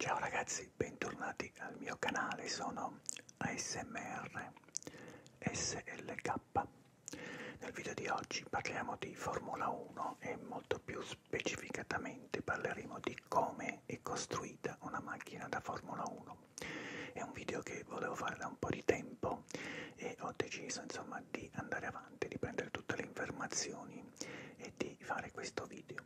Ciao ragazzi, bentornati al mio canale, sono ASMR SLK. Nel video di oggi parliamo di Formula 1 e molto più specificatamente parleremo di come è costruita una macchina da Formula 1. È un video che volevo fare da un po' di tempo e ho deciso insomma di andare avanti, di prendere tutte le informazioni e di fare questo video.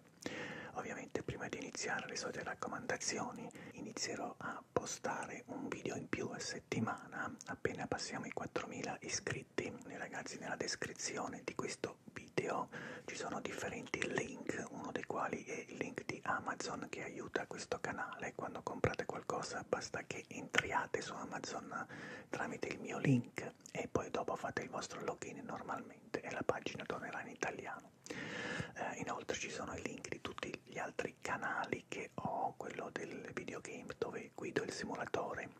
Ovviamente prima di iniziare le solite raccomandazioni inizierò a postare un video in più a settimana appena passiamo i 4.000 iscritti. Ragazzi nella descrizione di questo video ci sono differenti link, uno dei quali è il link di Amazon che aiuta questo canale. Quando comprate qualcosa basta che entriate su Amazon tramite il mio link inglese e poi dopo fate il vostro login normalmente e la pagina tornerà in italiano. Eh, inoltre ci sono i link di tutti gli altri canali che ho, quello del videogame dove guido il simulatore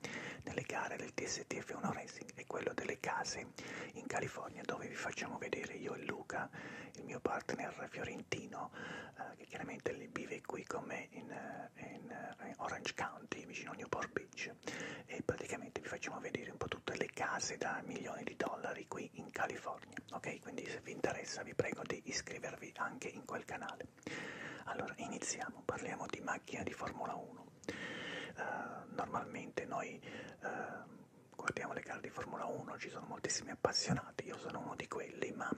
nelle gare del TSTF 1 Racing e quello delle case in California dove vi facciamo vedere io e Luca, il mio partner fiorentino eh, che chiaramente vive qui con me in, eh, eh, in Orange County vicino a Newport Beach Beach e praticamente vi facciamo vedere un po' tutte le case da milioni di dollari qui in California, ok? Quindi se vi interessa vi prego di iscrivervi anche in quel canale. Allora iniziamo, parliamo di macchina di Formula 1. Uh, eh, normalmente noi uh, guardiamo le gare di Formula 1, ci sono moltissimi appassionati, io sono uno di quelli, ma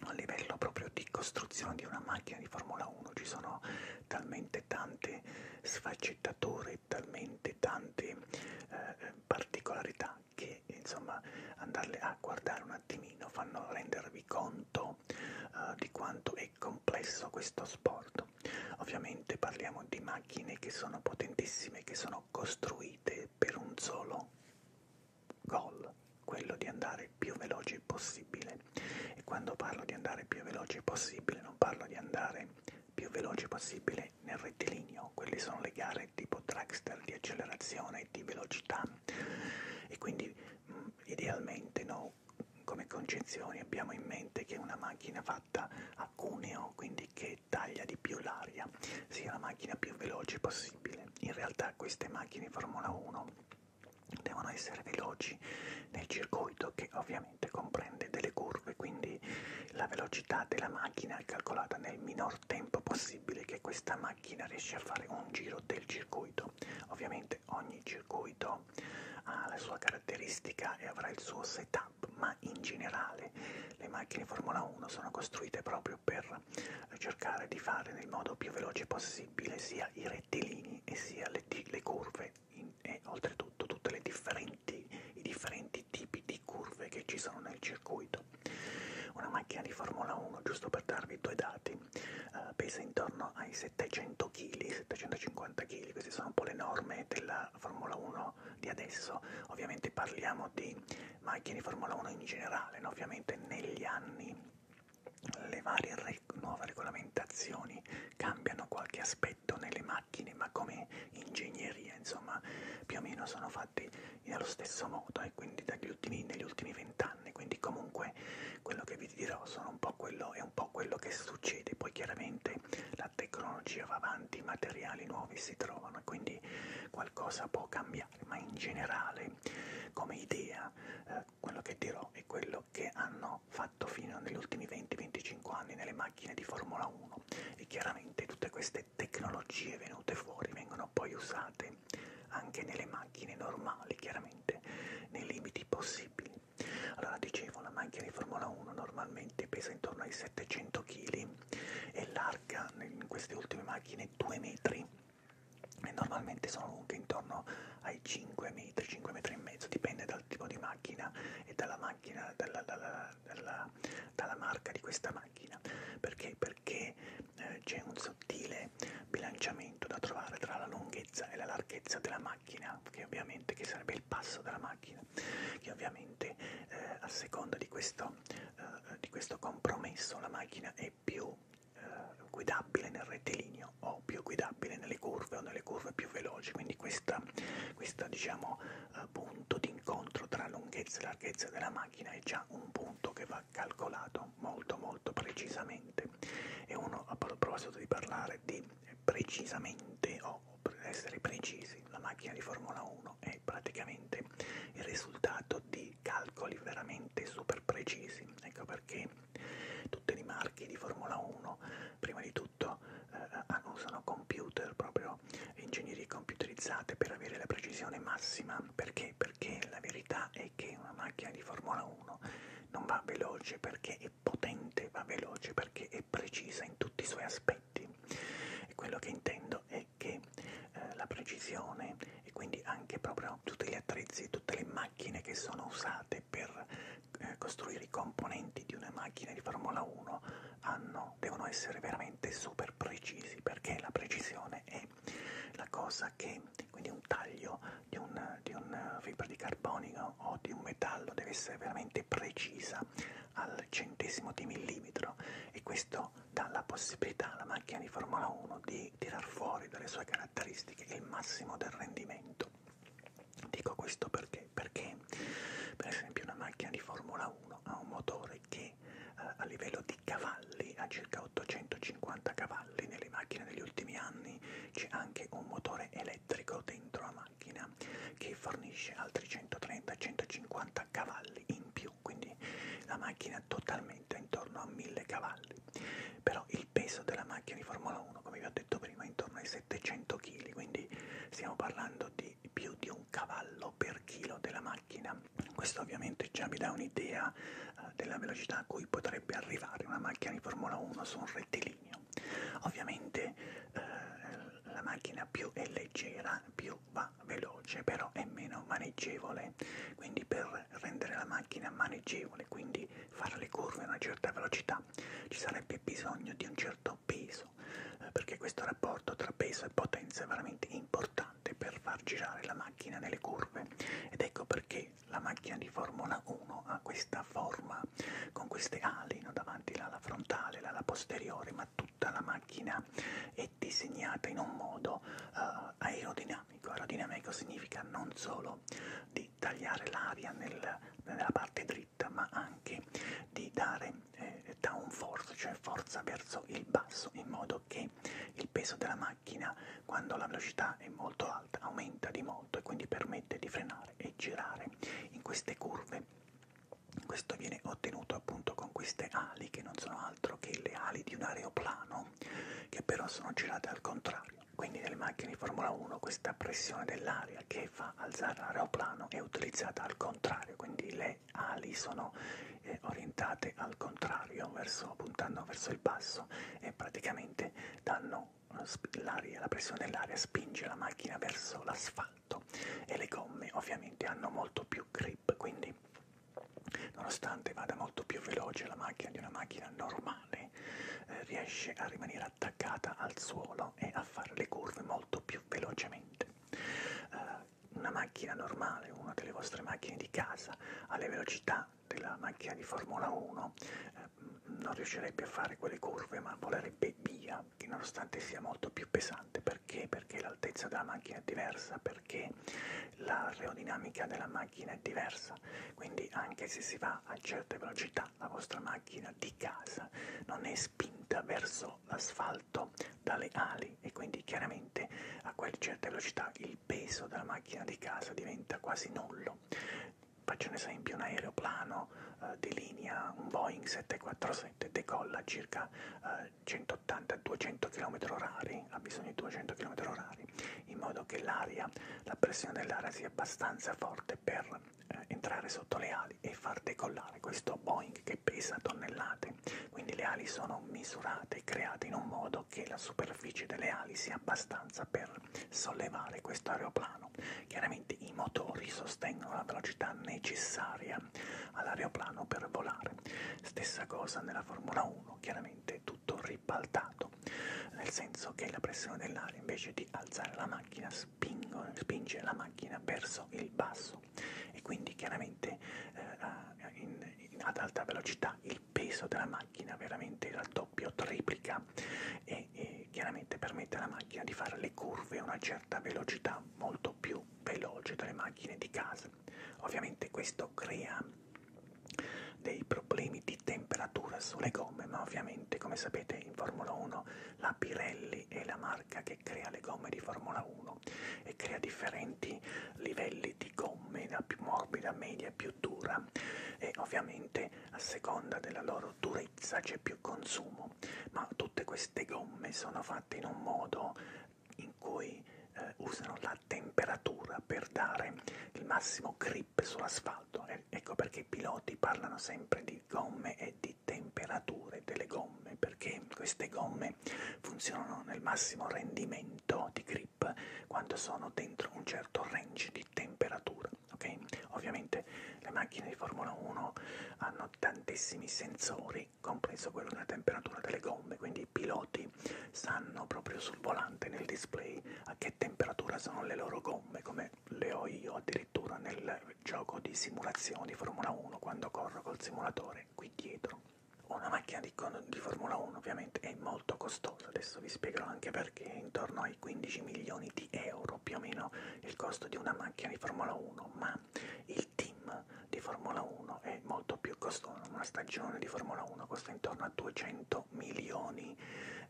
a livello proprio di costruzione di una macchina di Formula 1 ci sono talmente tante sfaccettature, talmente tante eh, eh, particolarità che insomma andarle a guardare un attimino fanno rendervi conto eh, di quanto è complesso questo sport. Ovviamente parliamo di macchine che sono potentissime, che sono costruite per un solo gol, quello di andare andare più veloci possibile. E quando parlo di andare più veloci possibile, non parlo di andare più veloci possibile nel rettilineo, quelle sono le gare tipo trackster di accelerazione e di velocità. E quindi mh, mm, idealmente no, come concezioni abbiamo in mente che una macchina fatta a cuneo, quindi che taglia di più l'aria, sia la macchina più veloce possibile. In realtà queste macchine Formula 1 devono essere veloci nel circuito che ovviamente comprende delle curve, quindi la velocità della macchina è calcolata nel minor tempo possibile che questa macchina riesce a fare un giro del circuito. Ovviamente ogni circuito ha la sua caratteristica e avrà il suo setup, ma in generale le macchine Formula 1 sono costruite proprio per cercare di fare nel modo più veloce possibile sia i rettilini angoli e sia le, le curve in, e oltretutto tutti i differenti tipi di curve che ci sono nel circuito. Una macchina di Formula 1, giusto per darvi due dati, eh, pesa intorno ai 700 kg, 750 kg, queste sono un po' le norme della Formula 1 di adesso, ovviamente parliamo di macchine di Formula 1 in generale, no? ovviamente negli anni le varie re nuove regolamentazioni cambiano qualche aspetto nelle macchine, ma come ingegneria, insomma, più o meno sono fatti nello stesso modo e eh, quindi dagli ultimi, negli ultimi vent'anni. Quindi comunque quello che vi dirò sono un po quello, è un po' quello che succede. Poi chiaramente la tecnologia va avanti, i materiali nuovi si trovano e quindi qualcosa può cambiare, ma in generale come idea eh, quello che dirò è quello che hanno hanno fatto fino negli ultimi 20-25 anni nelle macchine di Formula 1 e chiaramente tutte queste tecnologie venute fuori vengono poi usate anche nelle macchine normali, chiaramente nei limiti possibili. Allora dicevo, una macchina di Formula 1 normalmente pesa intorno ai 700 kg e larga in queste ultime macchine 2 metri e normalmente sono lunghe intorno ai 5 metri, 5 metri e mezzo, dipende dal tipo di macchina e dalla macchina, dalla, dalla, dalla, dalla marca di questa macchina. Perché? Perché eh, c'è un sottile bilanciamento da trovare tra la lunghezza e la larghezza della macchina, che ovviamente che sarebbe il passo della macchina, che ovviamente eh, a seconda di questo, eh, di questo compromesso la macchina è più eh, guidabile nel rettilineo meno o più guidabile nelle curve o nelle curve più veloci, quindi questo diciamo, eh, punto di incontro tra lunghezza e larghezza della macchina è già un punto che va calcolato molto molto precisamente e uno a proposito di parlare di precisamente o per essere precisi, la macchina di Formula 1 è praticamente il risultato di calcoli veramente super precisi, ecco per marche, tutte le marche di Formula 1, prima di tutto eh, usano computer, proprio ingegnerie computerizzate per avere la precisione massima. Perché? Perché la verità è che una macchina di Formula 1 non va veloce perché è potente, va veloce perché è precisa in tutti i suoi aspetti. E quello che intendo è che eh, la precisione e quindi anche proprio tutti gli attrezzi, tutte le macchine macchine che sono usate per eh, costruire i componenti di una macchina di Formula 1 hanno, devono essere veramente super precisi perché la precisione è la cosa che, quindi un taglio di un, di un fibra di carbonio o di un metallo deve essere veramente precisa al centesimo di millimetro e questo dà la possibilità alla macchina di Formula 1 di tirar fuori dalle sue caratteristiche il massimo del rendimento Dico questo perché? Perché per esempio una macchina di Formula 1 ha un motore che eh, a livello di cavalli ha circa 850 cavalli, nelle macchine degli ultimi anni c'è anche un motore elettrico dentro la macchina che fornisce altri 130-150 cavalli in più, quindi la macchina totalmente intorno a 1000 cavalli però il peso della macchina di Formula 1 come vi ho detto prima è intorno ai 700 kg quindi stiamo parlando di più di un cavallo per chilo della macchina questo ovviamente già vi dà un'idea uh, della velocità a cui potrebbe arrivare una macchina di Formula 1 su un rettilineo ovviamente uh, la macchina più è leggera più va veloce però è meno maneggevole quindi per rendere la macchina maneggevole quindi fare le curve a una certa velocità, ci sarebbe bisogno di un certo peso, eh, perché questo rapporto tra peso e potenza è veramente importante per far girare la macchina nelle curve ed ecco perché la macchina di Formula 1 ha questa forma con queste ali no? davanti l'ala frontale, l'ala posteriore, ma tutta la macchina è disegnata in un modo eh, aerodinamico. Aerodinamico significa non solo di di tagliare l'aria nel, nella parte dritta, ma anche di dare eh, down force, cioè forza verso il basso, in modo che il peso della macchina, quando la velocità è molto alta, aumenta di molto e quindi permette di frenare e girare in queste curve. Questo viene ottenuto appunto con queste ali che non sono altro che le ali di un aeroplano che però sono girate al contrario quindi nelle macchine di Formula 1 questa pressione dell'aria che fa alzare l'aeroplano è utilizzata al contrario, quindi le ali sono eh, orientate al contrario, verso, puntando verso il basso e praticamente danno eh, l'aria, la pressione dell'aria spinge la macchina verso l'asfalto e le gomme ovviamente hanno molto più grip, quindi nonostante vada molto più veloce la macchina di una macchina normale, eh, riesce a rimanere attaccata al suolo e a fare le curve molto più velocemente. Uh, una macchina normale, una delle vostre macchine di casa, alle velocità della macchina di Formula 1 eh, non riuscirebbe a fare quelle curve ma volerebbe via, che nonostante sia molto più pesante. Perché? Perché l'altezza della macchina è diversa, perché l'aerodinamica della macchina è diversa, quindi anche se si va a certe velocità la vostra macchina di casa non è spinta verso l'asfalto dalle ali e quindi chiaramente a quelle certe velocità il peso della macchina di casa diventa quasi nullo. Faccio un esempio, un aeroplano eh, di linea, un Boeing 747 decolla a circa eh, 180-200 km/h, ha bisogno di 200 km/h, in modo che l'aria, la pressione dell'aria sia abbastanza forte per eh, entrare sotto le ali e far decollare questo Boeing che pesa tonnellate. Quindi le ali sono misurate e create in un modo che la superficie delle ali sia abbastanza per sollevare questo aeroplano. Chiaramente i motori sostengono la velocità necessaria all'aeroplano per volare. Stessa cosa nella Formula 1, chiaramente tutto ribaltato movimento, nel senso che la pressione dell'aria invece di alzare la macchina spingo, spinge la macchina verso il basso e quindi chiaramente eh, in, in, ad alta velocità il peso della macchina veramente raddoppia o triplica e, e chiaramente permette alla macchina di fare le curve a una certa velocità molto più veloce delle macchine di casa. Ovviamente questo crea dei problemi problemi di temperatura sulle gomme, ma ovviamente come sapete in Formula 1 la Pirelli è la marca che crea le gomme di Formula 1 e crea differenti livelli di gomme, da più morbida, media e più dura e ovviamente a seconda della loro durezza c'è più consumo, ma tutte queste gomme sono fatte in un modo in cui eh, usano la temperatura per dare il massimo grip sull'asfalto e ecco perché i piloti parlano sempre di gomme e di temperature delle gomme, perché queste gomme funzionano nel massimo rendimento di grip quando sono dentro un certo range di temperatura, ok? Ovviamente le macchine di Formula 1 hanno tantissimi sensori, compreso quello della temperatura delle gomme, quindi i piloti sanno proprio sul volante, nel display, a che che temperatura sono le loro gomme, come le ho io addirittura nel gioco di simulazione di Formula 1 quando corro col simulatore qui dietro. Una macchina di, di Formula 1 ovviamente è molto costosa, adesso vi spiegherò anche perché, intorno ai 15 milioni di euro più o meno il costo di una macchina di Formula 1, ma il team di Formula 1 è molto più costoso, una stagione di Formula 1 costa intorno a 200 milioni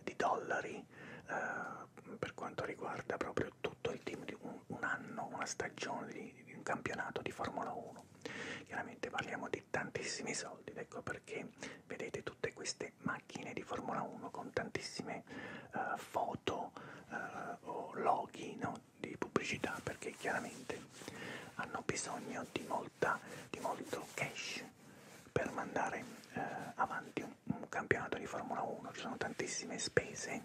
di dollari eh, per quanto riguarda proprio tutto il team di un, un anno, una stagione di, di un campionato di Formula 1. Chiaramente parliamo di tantissimi soldi, ecco perché vedete tutte queste macchine di Formula 1 con tantissime eh, foto eh, o loghi no, di pubblicità perché chiaramente hanno bisogno di, molta, di molto cash per mandare eh, avanti un, un campionato di Formula 1 ci sono tantissime spese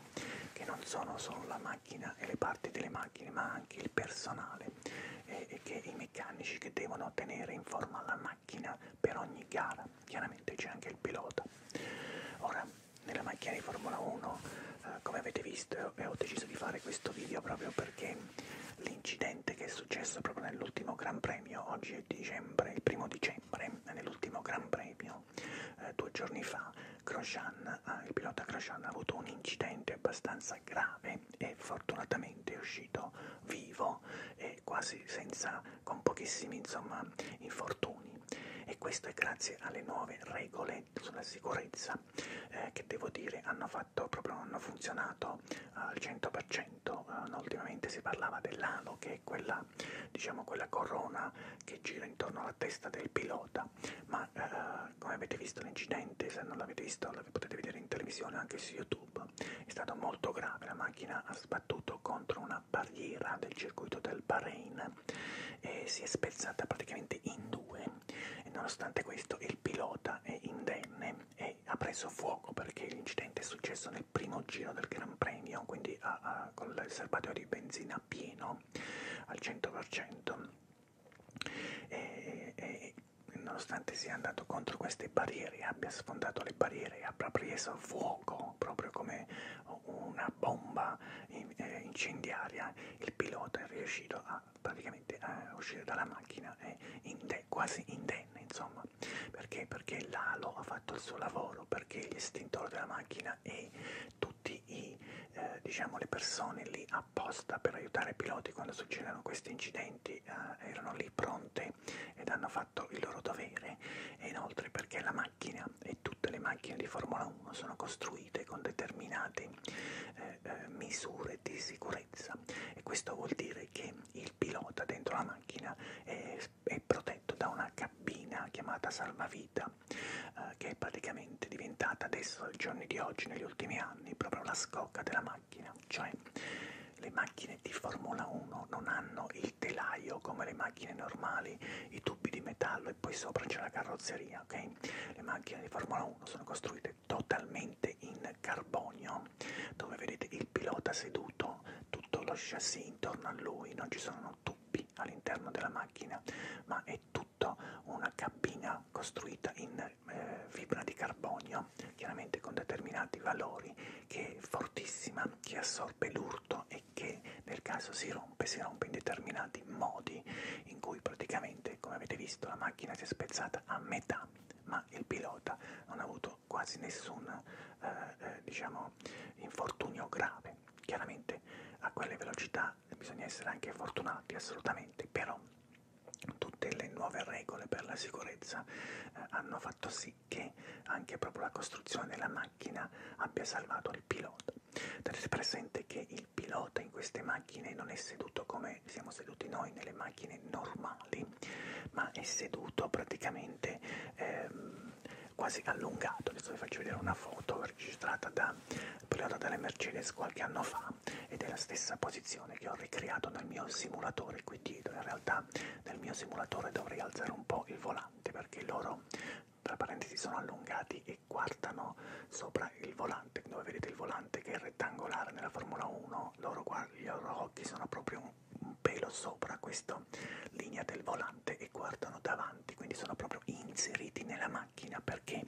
che non sono solo la macchina e le parti delle macchine ma anche il personale e, e che i meccanici che devono tenere in forma la macchina per ogni gara chiaramente c'è anche il pilota ora nella macchina di Formula 1 eh, come avete visto eh, ho deciso di fare questo video proprio perché l'incidente che è successo proprio nell'ultimo Gran Premio Premio, oggi è dicembre, il primo dicembre, nell'ultimo Gran Premio, eh, due giorni fa, Grosjean, eh, il pilota Grosjean ha avuto un incidente abbastanza grave e fortunatamente è uscito vivo e quasi senza, con pochissimi insomma, infortuni. E questo è grazie alle nuove regole sulla sicurezza eh, che devo dire hanno, fatto, proprio, hanno funzionato al 100% momento, eh, ultimamente si parlava dell'ano che è quella, diciamo, quella corona che gira intorno alla testa del pilota, ma eh, come avete visto l'incidente, se non l'avete visto lo potete vedere in televisione anche su YouTube, è stato molto grave, la macchina ha sbattuto contro una barriera del circuito del Bahrain e si è spezzata praticamente in due e nonostante questo il pilota è indenne e ormai ha preso fuoco perché l'incidente è successo nel primo giro del Gran Premio, quindi a, a, con il serbatoio di benzina pieno al 100%. E, e, nonostante sia andato contro queste barriere, abbia sfondato le barriere, abbia preso fuoco proprio come una bomba in, eh, incendiaria, il pilota è riuscito a praticamente a eh, uscire dalla macchina e inde, quasi indenne, insomma, qua perché perché l'alo ha fatto il suo lavoro perché l'istintore della macchina e tutti i eh, diciamo le persone lì apposta per aiutare i piloti quando succedono questi incidenti eh, erano lì pronte ed hanno fatto il loro dovere e inoltre perché la macchina e tutte le macchine di Formula 1 sono costruite con determinate eh, eh, misure di sicurezza e questo vuol dire che il pilota dentro la macchina è è protetto da una cabina chiamata salvavita eh, che è praticamente diventata adesso ai giorni di oggi, negli ultimi anni, proprio la scocca della macchina, cioè le macchine di Formula 1 non hanno il telaio come le macchine normali, i tubi di metallo e poi sopra c'è la carrozzeria, ok? Le macchine di Formula 1 sono costruite totalmente in carbonio dove vedete il pilota seduto, tutto lo chassis intorno a lui, non ci sono tubi all'interno della macchina, ma è tutta una cabina costruita in eh, fibra di carbonio, chiaramente con determinati valori, che è fortissima, che assorbe l'urto e che nel caso si rompe, si rompe in determinati modi, in cui praticamente, come avete visto, la macchina si è spezzata a metà, ma il pilota non ha avuto quasi nessun eh, eh, diciamo, infortunio grave. Chiaramente a quelle velocità bisogna essere anche fortunati, assolutamente, però tutte le nuove regole per la sicurezza eh, hanno fatto sì che anche proprio la costruzione della macchina abbia salvato il pilota. Tenete presente che il pilota in queste macchine non è seduto come siamo seduti noi nelle macchine normali, seduti, ma è seduto praticamente ehm, quasi allungato. Adesso vi faccio vedere una foto registrata da pilota delle Mercedes qualche anno fa ed è la stessa posizione che ho ricreato nel mio simulatore qui dietro. In realtà nel mio simulatore dovrei alzare un po' il volante perché loro tra parentesi sono allungati e guardano sopra il volante, dove vedete il volante che è rettangolare nella Formula 1, loro guard- gli loro occhi sono proprio un pelo sopra questa linea del volante e guardano davanti, quindi sono proprio inseriti nella macchina perché,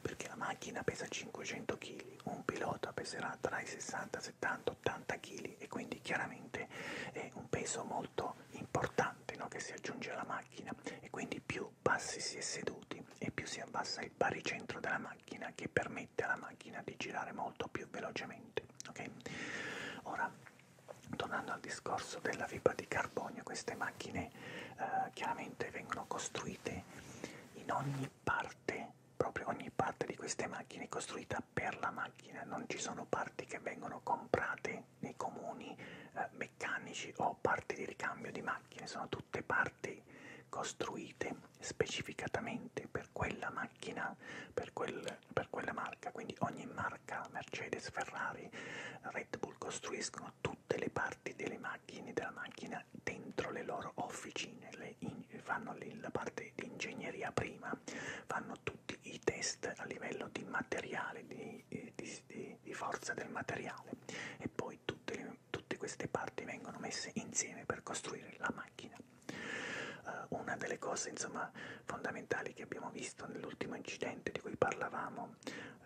perché la macchina pesa 500 kg, un pilota peserà tra i 60, 70, 80 kg e quindi chiaramente è un peso molto importante no? che si aggiunge alla macchina e quindi più bassi si è seduti e più si abbassa il baricentro della macchina che permette alla macchina di girare molto più velocemente ok? Ora, tornando al discorso della fibra di carbonio, queste macchine eh, chiaramente vengono costruite in ogni parte, proprio ogni parte di queste macchine è costruita per la macchina, non ci sono parti che vengono comprate nei comuni eh, meccanici o parti di ricambio di macchine, sono tutte parti costruite specificatamente per quella macchina, per quel per quella marca, quindi ogni marca, Mercedes, Ferrari, Red Bull, costruiscono tutte le parti delle macchine, della macchina dentro le loro officine, le in, fanno le, la parte di ingegneria prima, fanno tutti i test a livello di materiale, di, di, di, di forza del materiale e poi tutte, le, tutte queste parti vengono messe insieme per costruire la macchina. Uh, una delle cose insomma fondamentali che abbiamo visto nell'ultimo incidente di cui parlavamo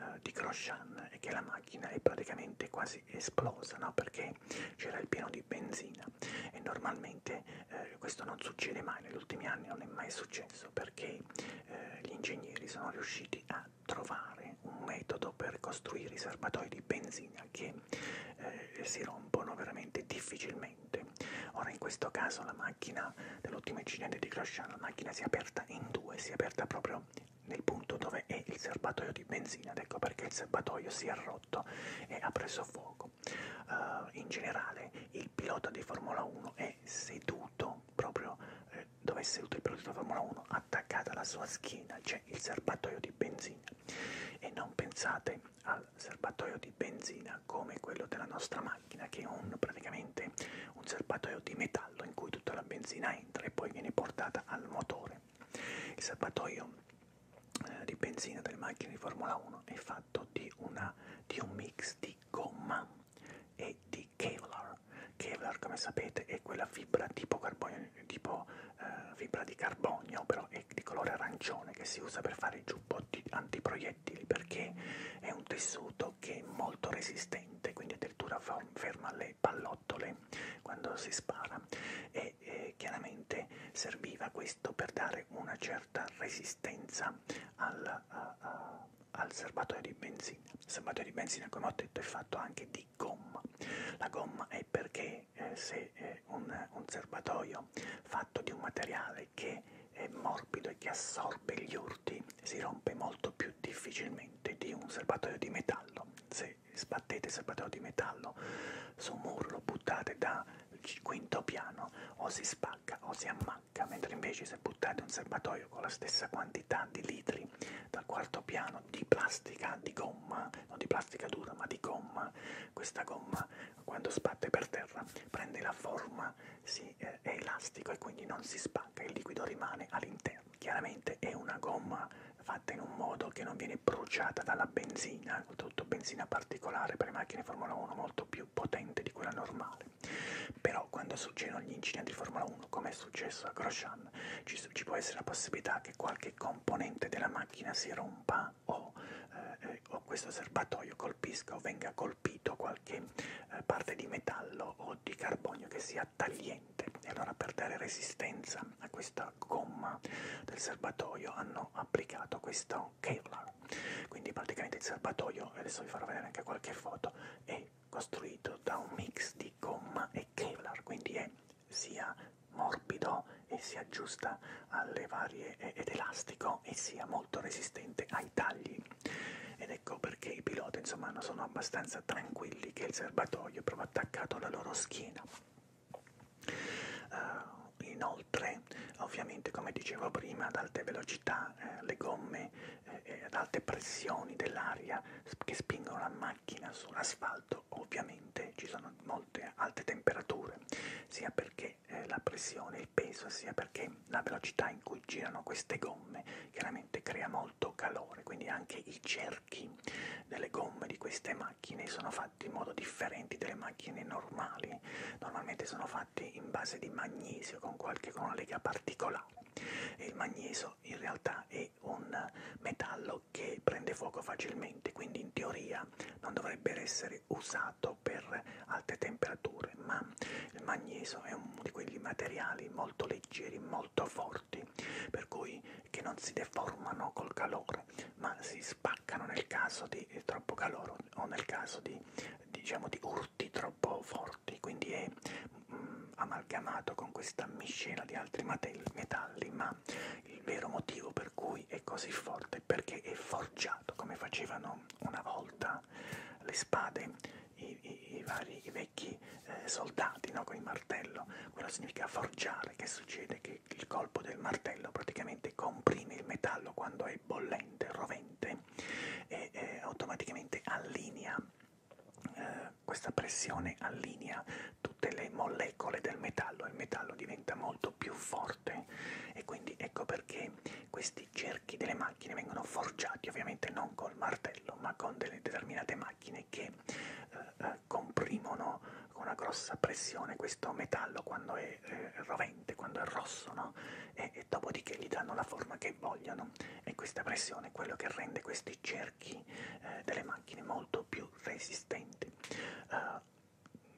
uh, di Grosjean è che la macchina è praticamente quasi esplosa no? perché c'era il pieno di benzina e normalmente uh, questo non succede mai, negli ultimi anni non è mai successo perché uh, gli ingegneri sono riusciti a trovare un metodo per costruire i serbatoi di benzina che eh, si rompono veramente difficilmente corrente. Ora in questo caso la macchina dell'ultimo incidente di Crosciano, la macchina si è aperta in due, si è aperta proprio nel punto dove è il serbatoio di benzina, ed ecco perché il serbatoio si è rotto e ha preso fuoco. Uh, in generale il pilota di Formula 1 è seduto proprio eh, dove è seduto il pilota di Formula 1, attaccata alla sua schiena c'è cioè il serbatoio di benzina. E non pensate al al serbatoio di benzina come quello della nostra macchina che è un, praticamente un serbatoio di metallo in cui tutta la benzina entra e poi viene portata al motore. Il serbatoio eh, di benzina delle macchine di Formula 1 è fatto di, una, di un mix di gomma e di Kevlar. Kevlar come sapete è quella fibra tipo, carbonio, tipo eh, fibra di carbonio però è di colore arancione che si usa per fare i giubbotti antiproiettili proiettili perché è un tessuto che è molto resistente, quindi addirittura ferma le pallottole quando si spara e eh, chiaramente serviva questo per dare una certa resistenza al, a, a, al serbatoio di benzina. Il serbatoio di benzina, come ho detto, è fatto anche di gomma. La gomma è perché eh, se eh, un, un serbatoio fatto di un materiale materiale che è morbido e che assorbe gli urti si rompe molto più difficilmente di un serbatoio di metallo. Se sbattete il serbatoio di metallo su un muro, lo buttate dal quinto piano o si spacca o si ammacca, mentre invece se buttate un serbatoio con la stessa quantità di litri dal quarto piano di plastica, di gomma, non di plastica dura ma di gomma, questa gomma quando sbatte per terra prende la forma, si, eh, è elastico e quindi non si spacca, il liquido rimane all'interno. Chiaramente è una gomma fatta in un modo che non viene bruciata dalla benzina, oltretutto benzina particolare per le macchine Formula 1 molto più potente di quella normale. Però quando succedono gli incidenti di Formula 1, come è successo a Grosjean, ci, ci può essere la possibilità che qualche componente della macchina si rompa prima o, eh, eh, o questo serbatoio colpisca o venga colpito qualche eh, parte di metallo o di carbonio che sia tagliente e allora per dare resistenza a questa gomma del serbatoio hanno applicato questo Kevlar quindi praticamente il serbatoio adesso vi farò vedere anche qualche foto è costruito da un mix di gomma e Kevlar quindi è sia morbido e si aggiusta alle varie ed elastico buono e sia molto resistente ai tagli ed ecco perché i piloti insomma sono abbastanza tranquilli che il serbatoio è proprio attaccato alla loro schiena uh, inoltre ovviamente come dicevo prima ad alte velocità eh, le gomme eh, ad alte pressioni dell'aria che spingono la macchina sull'asfalto ovviamente ci sono molte alte temperature sia perché perché eh, la pressione, il peso, sia perché la velocità in cui girano queste gomme chiaramente crea molto calore, quindi anche i cerchi delle gomme di queste macchine sono fatti in modo differente delle macchine normali, normalmente sono fatti in base di magnesio con qualche con una lega particolare e il magnesio in realtà è un metallo che prende fuoco facilmente, quindi in teoria non dovrebbe essere usato usato per alte temperature, ma il magnesio è uno di quegli materiali molto leggeri, molto forti, per cui che non si deformano col calore, ma si spaccano nel caso di troppo calore o nel caso di, diciamo, di urti troppo forti, quindi è mm, amalgamato con questa miscela di altri metalli, ma il vero motivo per cui è così forte è perché è forte forgiato come facevano una volta le spade i, i, i vari i vecchi eh, soldati no? con il martello quello significa forgiare che succede che il colpo del martello praticamente comprime il metallo quando è bollente rovente e eh, automaticamente allinea eh, questa pressione allinea tutte le molecole del metallo e il metallo diventa molto più forte forte e quindi ecco perché questi cerchi delle macchine vengono forgiati ovviamente non col martello ma con delle determinate macchine che eh, eh, comprimono con una grossa pressione questo metallo quando è eh, rovente, quando è rosso no? e, e dopodiché gli danno la forma che vogliono e questa pressione è quello che rende questi cerchi eh, delle macchine molto più resistenti. Uh,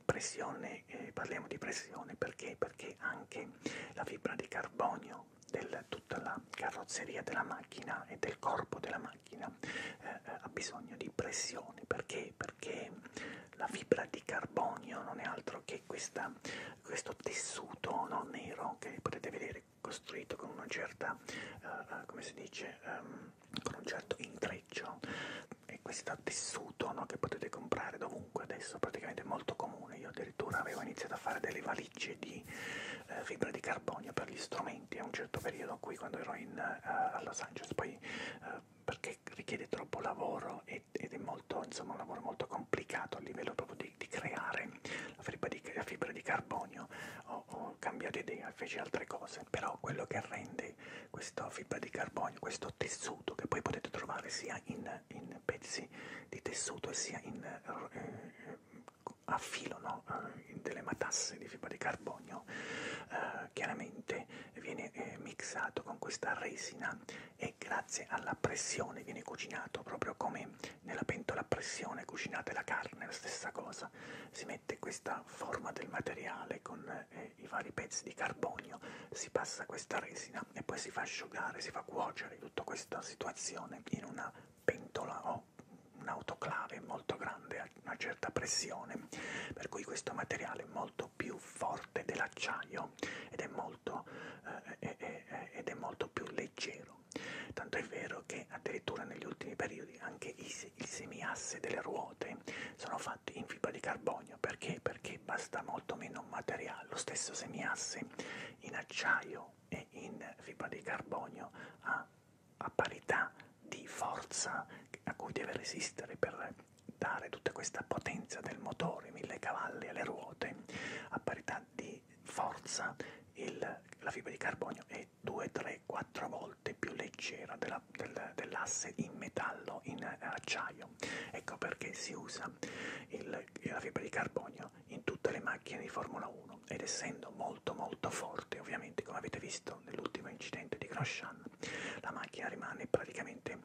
pressione, eh, parliamo di pressione perché? Perché anche la fibra di carbonio del tutta la carrozzeria della macchina e del corpo della macchina eh, eh, ha bisogno di pressione perché? Perché la fibra di carbonio non è altro che questa, questo tessuto no, nero che potete vedere costruito con una certa, eh, eh come si dice, ehm, con un certo intreccio è questo tessuto no, che potete comprare dovunque adesso, praticamente è molto comune. Io addirittura avevo iniziato a fare delle valigie di eh, fibra di carbonio per gli strumenti a un certo periodo qui quando ero in, uh, a Los Angeles, poi uh, perché richiede troppo lavoro ed, ed è molto, insomma, un lavoro molto complicato a livello proprio di, di creare la fibra di, la fibra di carbonio. Ho, ho cambiato idea, feci altre cose, però quello che rende questa fibra di carbonio, questo tessuto che poi potete trovare sia in in, in pezzi di tessuto sia in, eh, a filo, no? Eh, in delle matasse di fibra di carbonio, eh, chiaramente viene eh, mixato con questa resina e grazie alla pressione viene cucinato proprio come nella pentola a pressione cucinate la carne, la stessa cosa. Si mette questa forma del materiale con eh, eh, i vari pezzi di carbonio, si passa questa resina e poi si fa asciugare, si fa cuocere tutta questa situazione in una pentola o un'autoclave molto grande a una certa pressione, per cui questo materiale è molto più forte dell'acciaio ed è molto, eh, è, eh, è, eh, eh, ed è molto più leggero. Tanto è vero che addirittura negli ultimi periodi anche i, il semiasse delle ruote sono fatti in fibra di carbonio. Perché? Perché basta molto meno materiale, lo stesso semiasse in acciaio e in fibra di carbonio ha a parità di forza a cui deve resistere per dare tutta questa potenza del motore, 1000 cavalli alle ruote, a parità di forza il, la fibra di carbonio è 2, 3, 4 volte più leggera dell'asse dell in metallo, in eh, acciaio carbonio. Ecco perché si usa il, la fibra di carbonio in tutte le macchine di Formula 1 ed essendo molto molto forte, ovviamente come avete visto nell'ultimo incidente di Grosjean, la macchina rimane praticamente,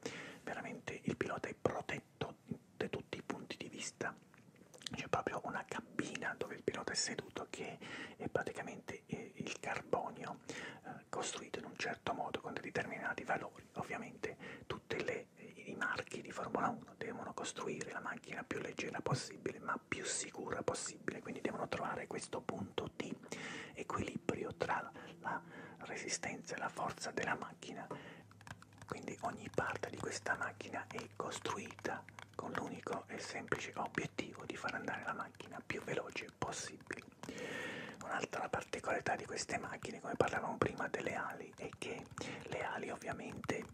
veramente il pilota è protetto da tutti i punti di vista. C'è proprio una cabina dove il pilota è seduto che è praticamente eh, il carbonio eh, costruito in un certo modo con determinati valori motori. Ovviamente tutti i marchi di Formula 1 devono costruire la macchina più leggera possibile ma più sicura possibile, quindi devono trovare questo punto di equilibrio tra la resistenza e la forza della macchina. Quindi ogni parte di questa macchina è costruita con l'unico e semplice obiettivo di far andare la macchina più veloce possibile utili. Un'altra particolarità di queste macchine, come parlavamo prima, delle ali, è che le ali ovviamente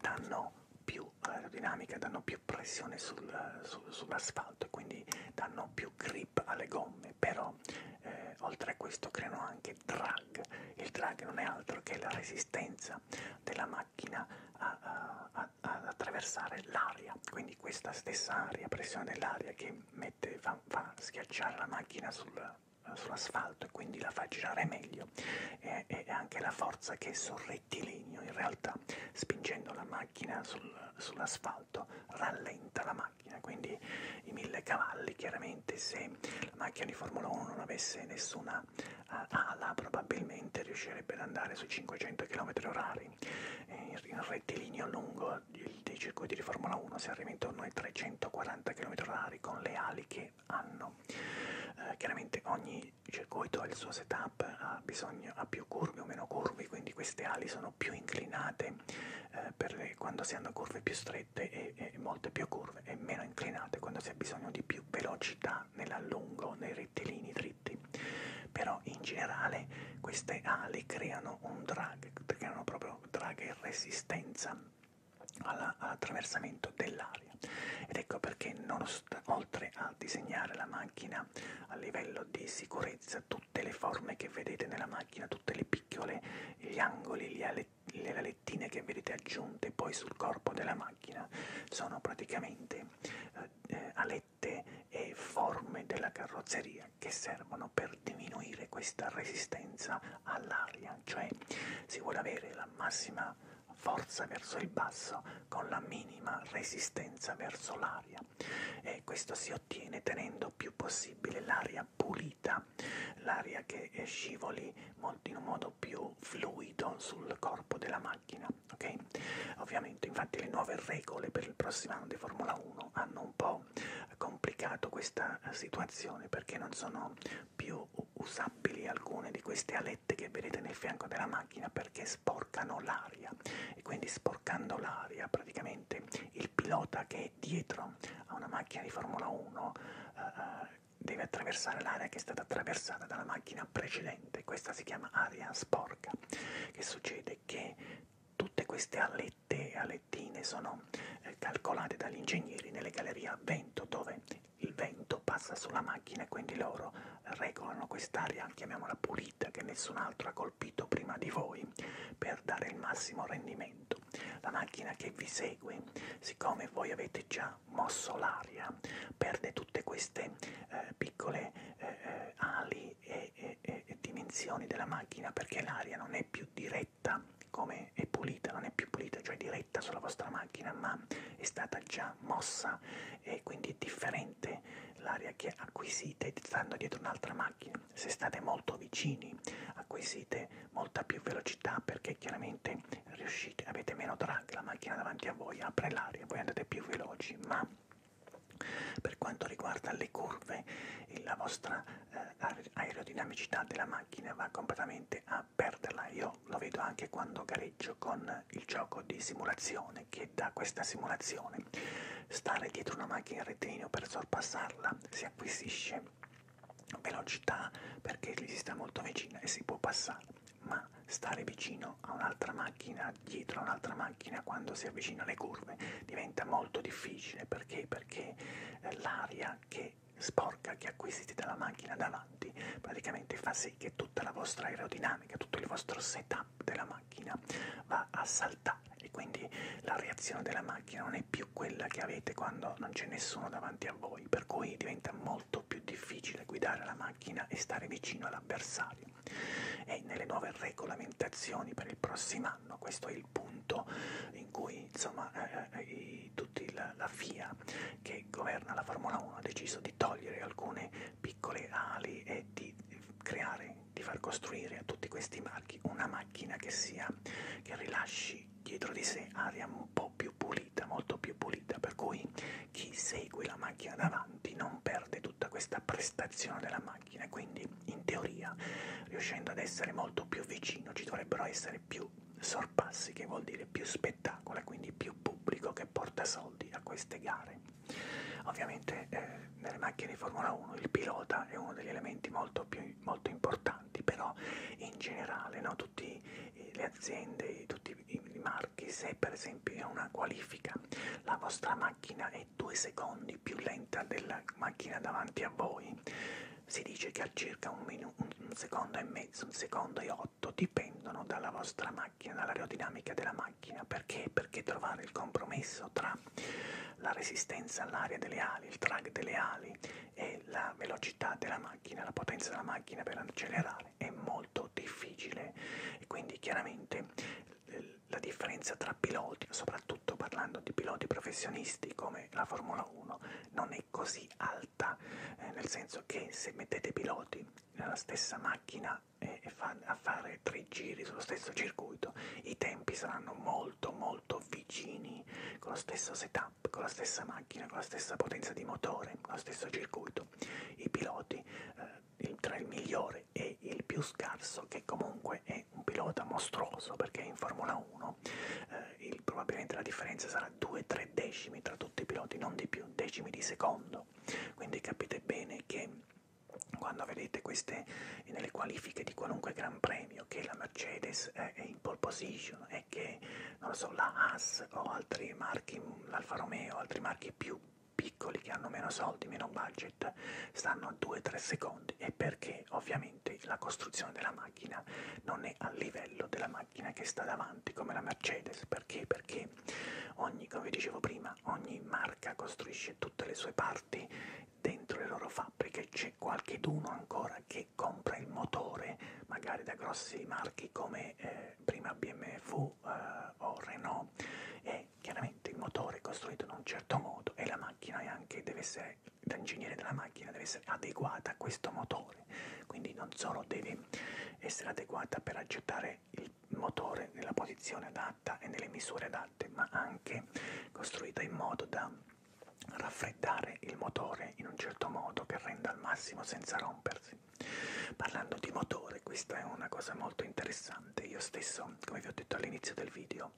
danno più aerodinamica, danno più pressione sul, su, sull'asfalto e quindi danno più grip alle gomme, però eh, oltre a questo creano anche drag. Il drag non è altro che la resistenza della macchina ad attraversare l'aria, quindi questa stessa aria, pressione dell'aria che mette, fa, fa schiacciare la macchina sul, sulla, sull'asfalto e quindi la fa girare meglio e, e anche la forza che è sul rettilineo in realtà spingendo la macchina sul, sull'asfalto rallenta la macchina quindi i mille cavalli chiaramente se la macchina di Formula 1 non avesse nessuna uh, ala probabilmente riuscirebbe ad andare sui 500 km orari in rettilineo lungo circuito, dei circuiti di Formula 1 si arriva intorno ai 340 km/h con le ali che hanno. Eh, chiaramente ogni circuito ha il suo setup, ha bisogno ha più curve o meno curve, quindi queste ali sono più inclinate eh, per le, quando si hanno curve più strette e, e molte più curve e meno inclinate quando si ha bisogno di più velocità nell'allungo, nei rettilini dritti. Però in generale queste ali creano un drag, creano proprio draga in resistenza all'attraversamento all dell'aria ed ecco perché oltre a disegnare la macchina a livello di sicurezza tutte le forme che vedete nella macchina tutte le piccole gli angoli le, ale, le alettine che vedete aggiunte poi sul corpo della macchina sono praticamente eh, eh alette e forme della carrozzeria aria che servono per diminuire questa resistenza all'aria, cioè si vuole avere la massima forza verso il basso con la minima resistenza verso l'aria e questo si ottiene tenendo più possibile l'aria pulita, l'aria che scivoli in un modo più fluido sul corpo della macchina, ok? Ovviamente infatti le nuove regole per il prossimo anno di Formula 1 hanno un po' complicato questa eh, situazione perché non sono più usabili alcune di queste alette che vedete nel fianco della macchina perché sporcano l'aria e quindi sporcando l'aria praticamente il pilota che è dietro a una macchina di Formula 1 eh, eh, deve attraversare l'area che è stata attraversata dalla macchina precedente, questa si chiama aria sporca. Che succede? Che tutte queste alette tette a lettine sono eh, calcolate dagli ingegneri nelle gallerie a vento dove il vento passa sulla macchina e quindi loro regolano quest'aria, chiamiamola pulita, che nessun altro ha colpito prima di voi per dare il massimo rendimento. La macchina che vi segue, siccome voi avete già mosso l'aria, perde tutte queste eh, piccole eh, eh ali e, e, e dimensioni della macchina perché l'aria non è più diretta diretta come è pulita, non è più pulita, cioè diretta sulla vostra macchina, ma è stata già mossa e quindi è differente l'area che acquisite stando dietro un'altra macchina. Se state molto vicini acquisite molta più velocità perché chiaramente riuscite, avete meno drag, la macchina davanti a voi apre l'aria, voi andate più veloci, ma per quanto riguarda le curve, la vostra eh, aerodinamicità della macchina va completamente a perderla. Io lo vedo anche quando gareggio con il gioco di simulazione, che da questa simulazione stare dietro una macchina in rettilineo per sorpassarla si acquisisce velocità perché gli si sta molto vicina e si può passare, ma stare vicino a un'altra macchina, dietro a un'altra macchina quando si avvicina alle curve diventa molto difficile perché, perché eh, l'aria aria che sporca che acquisite dalla macchina davanti praticamente fa sì che tutta la vostra aerodinamica, tutto il vostro setup della macchina va a saltare e quindi la reazione della macchina non è più quella che avete quando non c'è nessuno davanti a voi, per cui diventa molto più difficile guidare la macchina e stare vicino all'avversario. E nelle nuove regolamentazioni per il prossimo anno questo è il il punto in cui insomma eh, eh, tutti la, la FIA che governa la Formula 1 ha deciso di togliere alcune piccole ali e di creare, di far costruire a tutti questi marchi una macchina che sia, che rilasci dietro di sé aria un po' più pulita, molto più pulita, per cui chi segue la macchina davanti non perde tutta questa prestazione della macchina, quindi in teoria, riuscendo ad essere molto più vicino, ci dovrebbero essere più sorpassi, che vuol dire più spettacolo e quindi più pubblico che porta soldi a queste gare. Ovviamente eh, nelle macchine di Formula 1 il pilota è uno degli elementi molto, più, molto importanti, però in generale no, tutte eh, le aziende, tutti i, i marchi, se per esempio è una qualifica la vostra macchina è due secondi più lenta della macchina davanti a voi si dice che a circa un, minuto, un secondo e mezzo, un secondo e otto dipendono dalla vostra macchina, dall'aerodinamica della macchina. Perché? Perché trovare il compromesso tra la resistenza all'aria delle ali, il drag delle ali e la velocità della macchina, la potenza della macchina per accelerare è molto difficile e quindi chiaramente la differenza tra piloti, soprattutto parlando di piloti professionisti come la Formula 1, non è così alta, eh, nel senso che se mettete piloti nella stessa macchina eh, e fa, a fare tre giri sullo stesso circuito, i tempi saranno molto molto vicini, con lo stesso setup, con la stessa macchina, con la stessa potenza di motore, con lo stesso circuito. I piloti, eh, il, tra il migliore e il più scarso, che comunque è è un pilota mostruoso perché in Formula 1 eh, il, probabilmente la differenza sarà 2-3 decimi tra tutti i piloti, non di più, decimi di secondo. Quindi capite bene che quando vedete queste nelle qualifiche di qualunque gran premio che la Mercedes è in pole position e che non lo so, la Haas o altri marchi, l'Alfa Romeo, altri marchi più piccoli che hanno meno soldi, meno budget, stanno a 2-3 secondi e perché ovviamente la costruzione della macchina macchina non è al livello della macchina che sta davanti, come la Mercedes. Perché? Perché ogni, come vi dicevo prima, ogni marca costruisce tutte le sue parti dentro le loro fabbriche. C'è qualcheduno ancora che compra il motore, magari da grossi marchi come eh, prima BMF eh, o Renault, e chiaramente il motore è costruito in un certo modo e la macchina anche deve essere da ingegnere della macchina deve essere adeguata a questo motore, quindi non solo deve essere adeguata per aggettare il motore nella posizione adatta e nelle misure adatte, ma anche costruita in modo da raffreddare il motore in un certo modo che renda al massimo senza rompersi. Parlando di motore, questa è una cosa molto interessante. Io stesso, come vi ho detto all'inizio del video,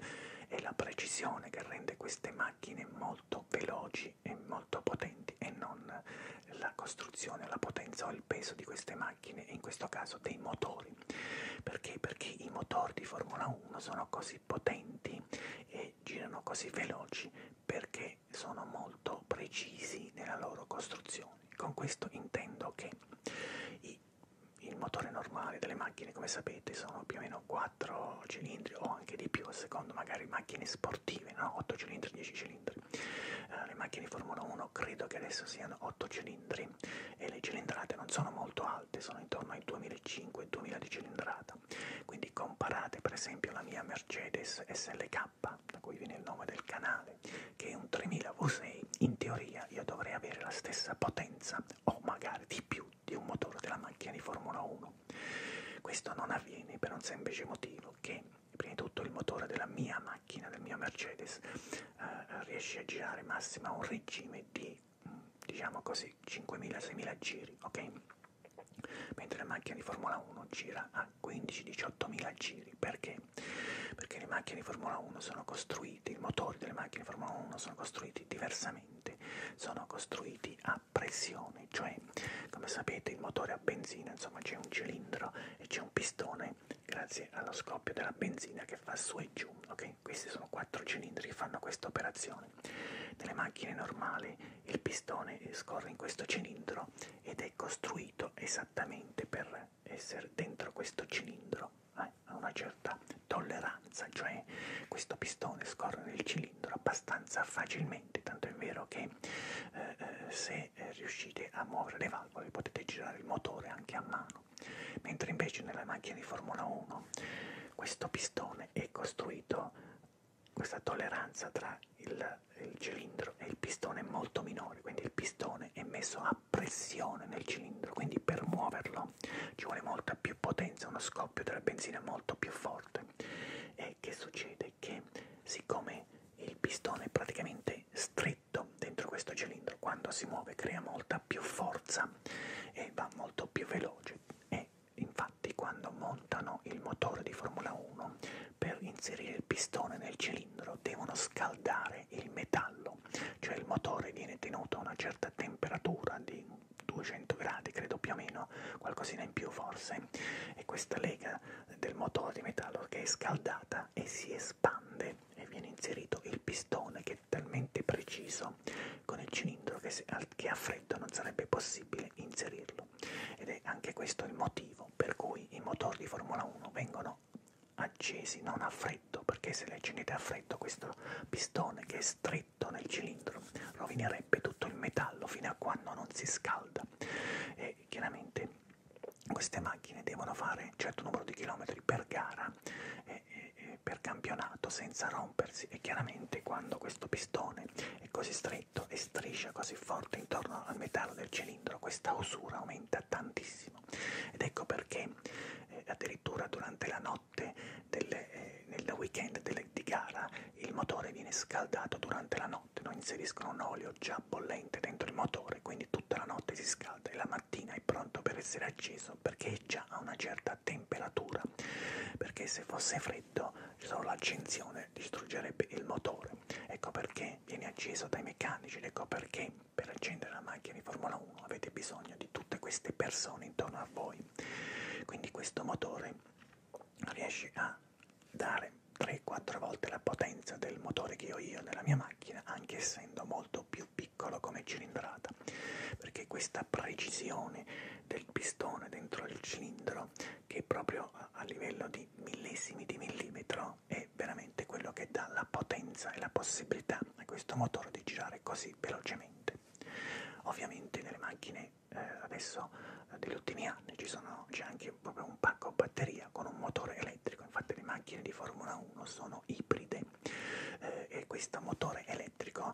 è la precisione che rende queste macchine molto molto veloci e molto potenti e non la costruzione, la potenza o il peso di queste macchine e in questo caso dei motori. Perché? Perché i motori di Formula 1 sono così potenti e girano così veloci perché sono molto precisi nella loro costruzione. Con questo intendo che i, il motore normale delle macchine, come sapete, solito sono più o meno 4 cilindri o anche di più, a secondo magari macchine sportive, no? 8 cilindri, 10 cilindri. Eh, le macchine di Formula 1 credo che adesso siano 8 cilindri e le cilindrate non sono molto alte, sono intorno ai 2005-2000 di cilindrata. Quindi comparate per esempio la mia Mercedes SLK, da cui viene il nome del canale, che è un 3000 V6, in teoria io dovrei avere la stessa potenza o magari di più di un motore della macchina di Formula 1. Questo non avviene per un semplice motivo che prima di tutto il motore della mia macchina, del mio Mercedes, eh, riesce a girare massima a un regime di diciamo così 5.000-6.000 giri, ok? Mentre la macchina di Formula 1 gira a 15-18.000 giri, perché? Perché le macchine di Formula 1 sono costruite, i motori delle macchine di Formula 1 sono costruiti diversamente, sono costruiti a pressione, cioè come sapete il motore a benzina, insomma c'è un cilindro e c'è un pistone grazie allo scoppio della benzina che fa su e giù, ok? Questi sono quattro cilindri che fanno questa operazione. Nelle macchine normali il pistone scorre in questo cilindro ed è costruito esattamente per essere dentro questo cilindro, eh? a una certa tolleranza sostanza, cioè questo pistone scorre nel cilindro abbastanza facilmente, tanto è vero che eh, eh se eh, riuscite a muovere le valvole potete girare il motore anche a mano, mentre invece nella macchina di Formula 1 questo pistone è costruito, questa tolleranza tra il, il cilindro e il pistone è molto minore, quindi il pistone è messo a pressione nel cilindro, quindi per muoverlo ci vuole molta dà più potenza, uno scoppio della benzina molto più forte. E che succede? Che siccome il pistone è praticamente stretto dentro questo cilindro, quando si muove crea molta più forza e va molto più veloce. E infatti quando montano il motore di Formula 1 per inserire il pistone nel cilindro devono scaldare il metallo, cioè il motore viene tenuto a una certa temperatura di 200 gradi credo più o meno qualcosina in più forse e questa lega del motore di metallo che è scaldata e si espande e viene inserito il pistone che è talmente preciso con il cilindro che, se, che a freddo non sarebbe possibile inserirlo ed è anche questo il motivo per cui i motori di Formula 1 vengono accesi non a freddo perché se li accendete a freddo questo pistone che è stretto freddo nel cilindro, rovinerebbe tutto il metallo fino a quando non si scalda e chiaramente queste macchine devono fare un certo numero di chilometri per gara e, e, e per campionato senza rompersi e chiaramente quando questo pistone è così stretto e striscia così forte intorno al metallo del cilindro questa usura aumenta tantissimo ed ecco perché eh, addirittura durante la notte notte delle, eh, nel weekend delle, di gara il motore viene scaldato durante la notte, no? inseriscono un olio già bollente dentro il motore, quindi tutta la notte si scalda e la mattina è pronto per essere acceso perché è già a una certa temperatura, perché se fosse freddo solo l'accensione distruggerebbe il motore, ecco perché viene acceso dai meccanici, ecco perché per accendere la macchina di Formula 1 avete bisogno di tutte queste persone intorno a voi, quindi questo motore riesci a dare 3-4 volte la potenza del motore che ho io nella mia macchina, anche essendo molto più piccolo come cilindrata, perché questa precisione del pistone dentro il cilindro, che proprio a livello di millesimi di millimetro, è veramente quello che dà la potenza e la possibilità a questo motore di girare così velocemente. Ovviamente nelle macchine eh, adesso eh, degli ultimi anni c'è anche proprio un pacco a batteria con un motore elettrico, infatti le macchine di Formula 1 sono ibride eh, e questo motore elettrico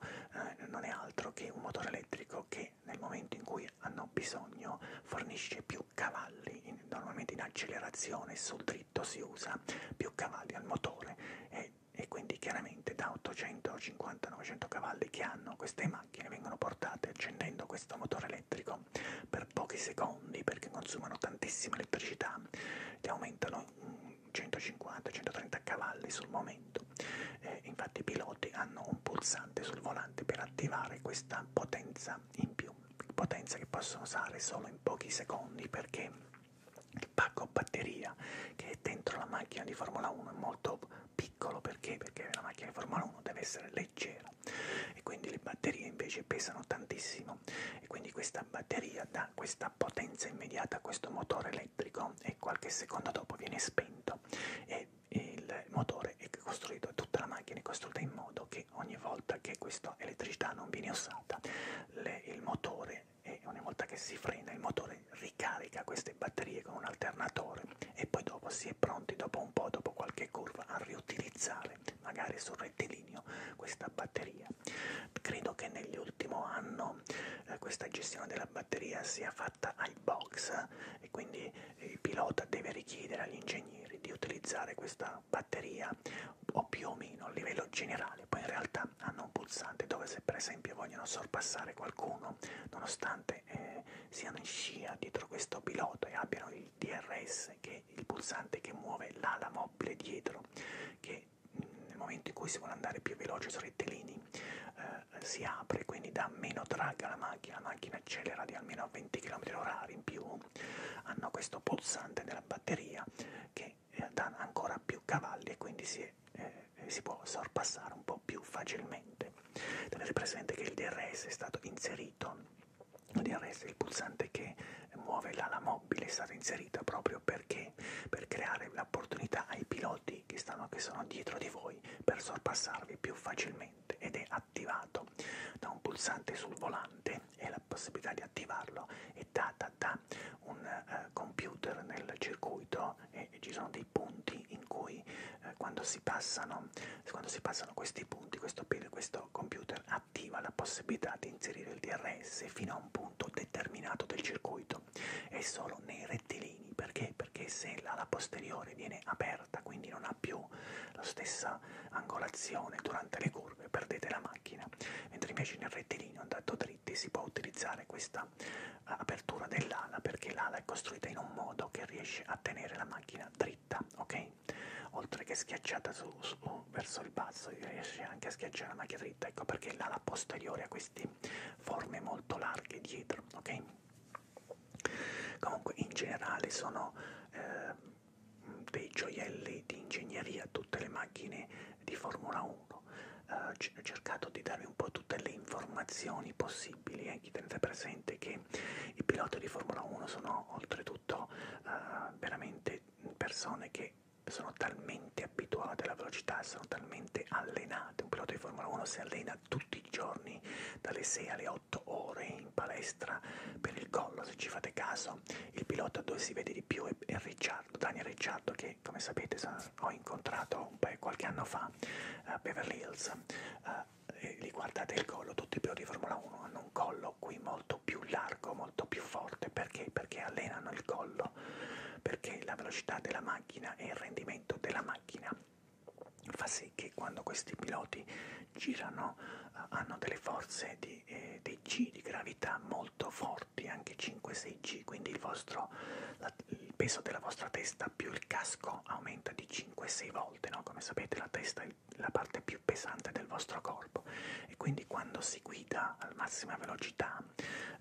eh, non è altro che un motore elettrico che nel momento in cui hanno bisogno fornisce più cavalli, in, normalmente in accelerazione sul dritto si usa più cavalli al motore e, eh, e quindi chiaramente solamente da 850 a 900 cavalli che hanno queste macchine vengono portate accendendo questo motore elettrico per pochi secondi perché consumano tantissima elettricità e aumentano 150-130 cavalli sul momento. Eh, infatti i piloti hanno un pulsante sul volante per attivare questa potenza in più, potenza che possono usare solo in pochi secondi perché il pacco batteria che è dentro la macchina di Formula 1 è molto piccolo perché? Perché la macchina di Formula 1 deve essere leggera e quindi le batterie invece pesano tantissimo e quindi questa batteria dà questa potenza immediata a questo motore elettrico e qualche secondo dopo viene spento e il motore è costruito, tutta la macchina è costruita in modo che ogni volta che questa elettricità non viene usata le, il motore e ogni volta che si frena il motore ricarica queste batterie con un alternatore e poi dopo si è pronti dopo un po', dopo qualche curva, a riutilizzare magari sul rettilineo questa batteria. Credo che nell'ultimo anno eh, questa gestione della batteria sia fatta ai box eh, e quindi il pilota deve richiedere agli ingegneri di utilizzare questa batteria o più o meno a livello generale, poi in realtà hanno un pulsante dove se per esempio vogliono sorpassare qualcuno Milano, nonostante eh, siano in scia dietro questo pilota e abbiano il DRS, che è il pulsante che muove l'ala mobile dietro, che mm, nel momento in cui si vuole andare più veloce sui rettilini eh, si apre, quindi dà meno drag alla macchina, la macchina accelera di almeno 20 km/h in più, hanno questo pulsante della batteria che eh, dà ancora più cavalli e quindi si che eh, eh, si può sorpassare un po' più facilmente. Tenete presente che il DRS è stato inserito, il DRS è il pulsante che muove l'ala mobile, è stato inserito proprio perché per creare l'opportunità ai piloti che, stanno, che sono dietro di voi per sorpassarvi più facilmente ed è attivato da un pulsante sul volante e la possibilità di attivarlo è data da un uh, computer nel circuito no? E, e ci sono dei punti in cui eh, quando, si passano, quando si passano questi punti, questo, questo computer attiva la possibilità di inserire il DRS fino a un punto determinato del circuito e solo nei rettilini. Perché? Perché se l'ala posteriore viene aperta, quindi non ha più la stessa angolazione durante le curve, perdete la macchina, mentre invece nel rettilineo andato dritti si può utilizzare questa apertura dell'ala perché l'ala è costruita in un modo che riesce a tenere la macchina dritta, ok? Oltre che schiacciata su, su, verso il basso riesce anche a schiacciare la macchina dritta, ecco perché l'ala posteriore ha queste forme molto larghe dietro, ok? Comunque in generale sono eh, dei gioielli di ingegneria tutte le macchine di Formula 1. Eh, ho cercato di darvi un po' tutte le informazioni possibili possibili e eh, tenete presente che i piloti di Formula 1 sono oltretutto eh, veramente persone che sono talmente abituate alla velocità, sono talmente allenate. Un pilota di Formula 1 si allena tutti i giorni dalle 6 alle 8 ore in palestra per il collo, se ci fate caso. Il pilota dove si vede di più è, è Ricciardo, Daniel Ricciardo, che come sapete ho incontrato un paio, qualche anno fa a eh, Beverly Hills eh, e li guardate il collo, tutti i piloti di Formula 1 hanno un collo qui molto più largo, molto più forte, perché? Perché allenano il collo, perché la velocità della macchina e il rendimento della macchina fa sì che quando questi piloti girano uh, hanno delle forze di, eh, dei G di gravità molto forti, anche 5-6G, quindi il vostro la, il peso della vostra testa più il casco aumenta di 5-6 volte, no? come sapete la testa è la parte più pesante del vostro corpo e quindi quando si guida alla massima velocità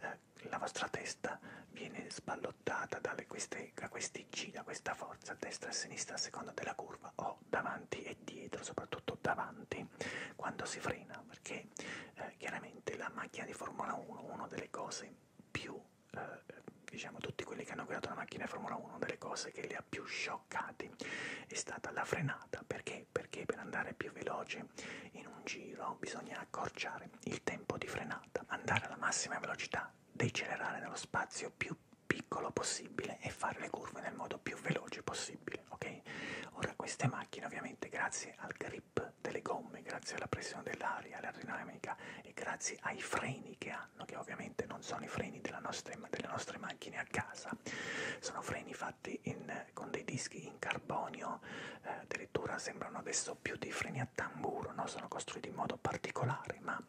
eh, la vostra testa viene sballottata dalle queste, da questi G, da questa forza a destra e a sinistra a seconda della curva o davanti e dietro, soprattutto davanti quando si frena perché eh, chiaramente la macchina di Formula 1 una delle cose più eh, diciamo tutti quelli che hanno guidato la macchina Formula 1, una delle cose che li ha più scioccati è stata la frenata. Perché? Perché per andare più veloce in un giro bisogna accorciare il tempo di frenata, andare alla massima velocità, decelerare nello spazio più piccolo possibile e fare le curve nel modo più veloce possibile, ok? Ora queste macchine ovviamente grazie al grip delle gomme, grazie alla pressione dell'aria, all'aerodinamica e grazie ai freni che hanno, che ovviamente non sono i freni nostra, delle nostre macchine a casa, sono freni fatti in, con dei dischi in carbonio, eh, addirittura sembrano adesso più dei freni a tamburo, no? sono costruiti in modo particolare, ma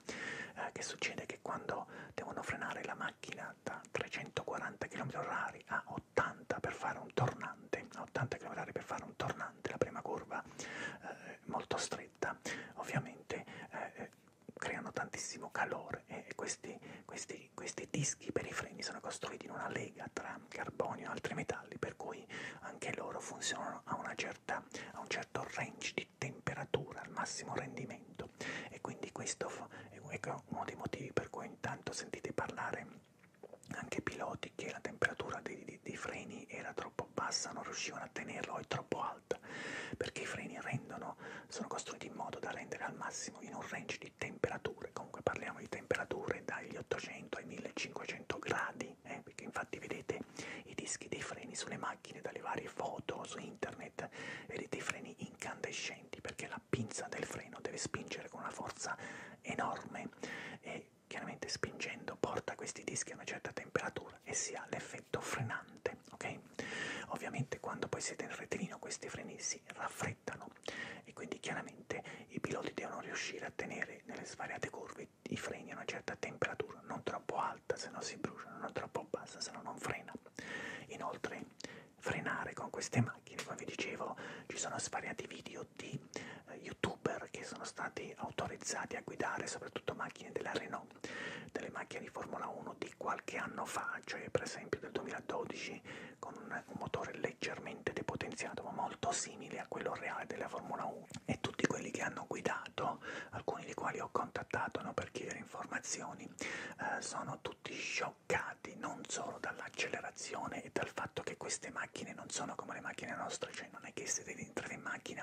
eh, che succede che quando devono frenare la macchina da 340 km/h a 80 per fare un tornante, a 80 km/h per fare un tornante, pesante, la prima curva eh, molto stretta, ovviamente eh, creano tantissimo calore e, e questi, questi, questi dischi per i freni sono costruiti in una lega tra carbonio e altri metalli, per cui anche loro funzionano a, una certa, a un certo range di temperatura, al massimo rendimento. E quindi questo è uno dei motivi per cui intanto sentite parlare anche piloti che la temperatura dei di, dei freni era troppo bassa, non riuscivano a tenerlo, è troppo alta, perché i freni rendono, sono costruiti in modo da rendere al massimo in un range di temperature, comunque parliamo di temperature dagli 800 ai 1500 gradi, eh, perché infatti vedete i dischi dei freni sulle macchine, dalle varie foto su internet, vedete i freni incandescenti, perché la pinza del freno deve spingere con una forza enorme e chiaramente spingendo porta questi dischi a una certa temperatura e si ha l'effetto frenante, ok? Ovviamente quando poi siete in retellino questi freni si raffreddano e quindi chiaramente i piloti devono riuscire a tenere nelle svariate curve i freni a una certa temperatura, non troppo alta se no si bruciano, non troppo bassa se no non frena. Inoltre frenare con queste macchine, come vi dicevo, ci sono svariati video di di eh, youtuber che sono stati autorizzati a guidare soprattutto macchine della Renault, delle macchine di Formula 1 di qualche anno fa, cioè per esempio del 2012 con un, un motore leggermente depotenziato ma molto simile a quello reale della Formula 1 e tutti quelli che hanno guidato, alcuni dei quali ho contattato no, per chiedere informazioni, eh, sono tutti scioccati non solo dall'accelerazione e dal fatto che queste macchine non sono come le macchine nostre, cioè non è che se devi entrare in macchina,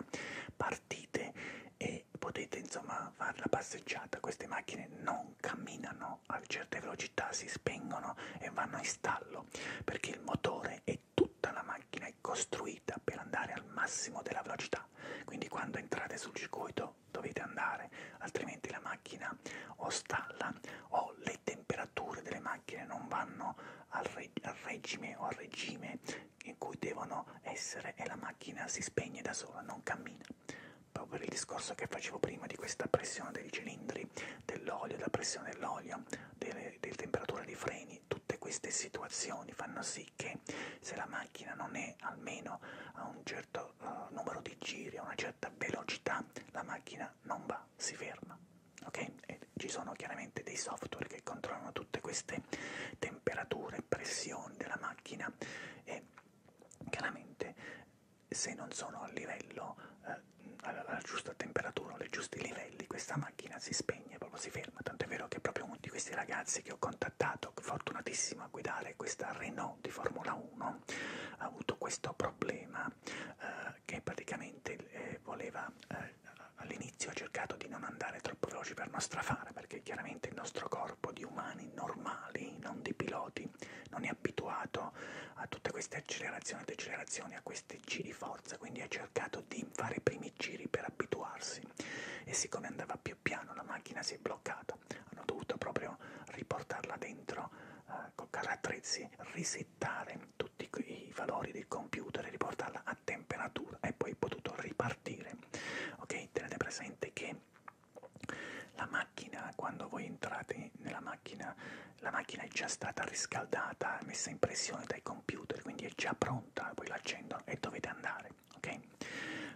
partite e potete insomma fare la passeggiata. Queste macchine non camminano a certe velocità, si spengono e vanno in stallo perché il motore e tutta la macchina è costruita per andare al massimo della velocità. Quindi quando entrate sul circuito dovete andare, altrimenti la macchina o stalla o le temperature delle macchine non vanno al, re, al regime o al regime in cui devono essere e la macchina si spegne da sola, non cammina. Proprio per il discorso che facevo prima di questa pressione dei cilindri, dell'olio, della pressione dell'olio, delle, delle temperature dei freni, tutte queste situazioni fanno sì che se la macchina non è almeno a un certo uh, numero di giri, a una certa velocità, la macchina non va, si ferma ok? E ci sono chiaramente dei software che controllano tutte queste temperature, pressioni della macchina e chiaramente se non sono al livello, eh, alla giusta temperatura o ai giusti livelli, questa macchina si spegne, proprio si ferma. Tanto è vero che proprio uno di questi ragazzi che ho contattato, fortunatissimo a guidare questa Renault di Formula 1, ha avuto questo problema eh, che praticamente eh, voleva eh, all'inizio ho cercato di non andare troppo veloci per non strafare, perché chiaramente il nostro corpo di umani normali, non di piloti, non è abituato a tutte queste accelerazioni e decelerazioni, a questi giri forza, quindi ha cercato di fare i primi giri per abituarsi e siccome andava più piano la macchina si è bloccata, hanno dovuto proprio riportarla dentro eh, con carattrezzi, risettare tutti i valori il computer e riportarla a temperatura e poi potuto ripartire. Ok, tenete presente che la macchina, quando voi entrate nella macchina, la macchina è già stata riscaldata, messa in pressione dai computer, quindi è già pronta, poi l'accendono e dovete andare, ok?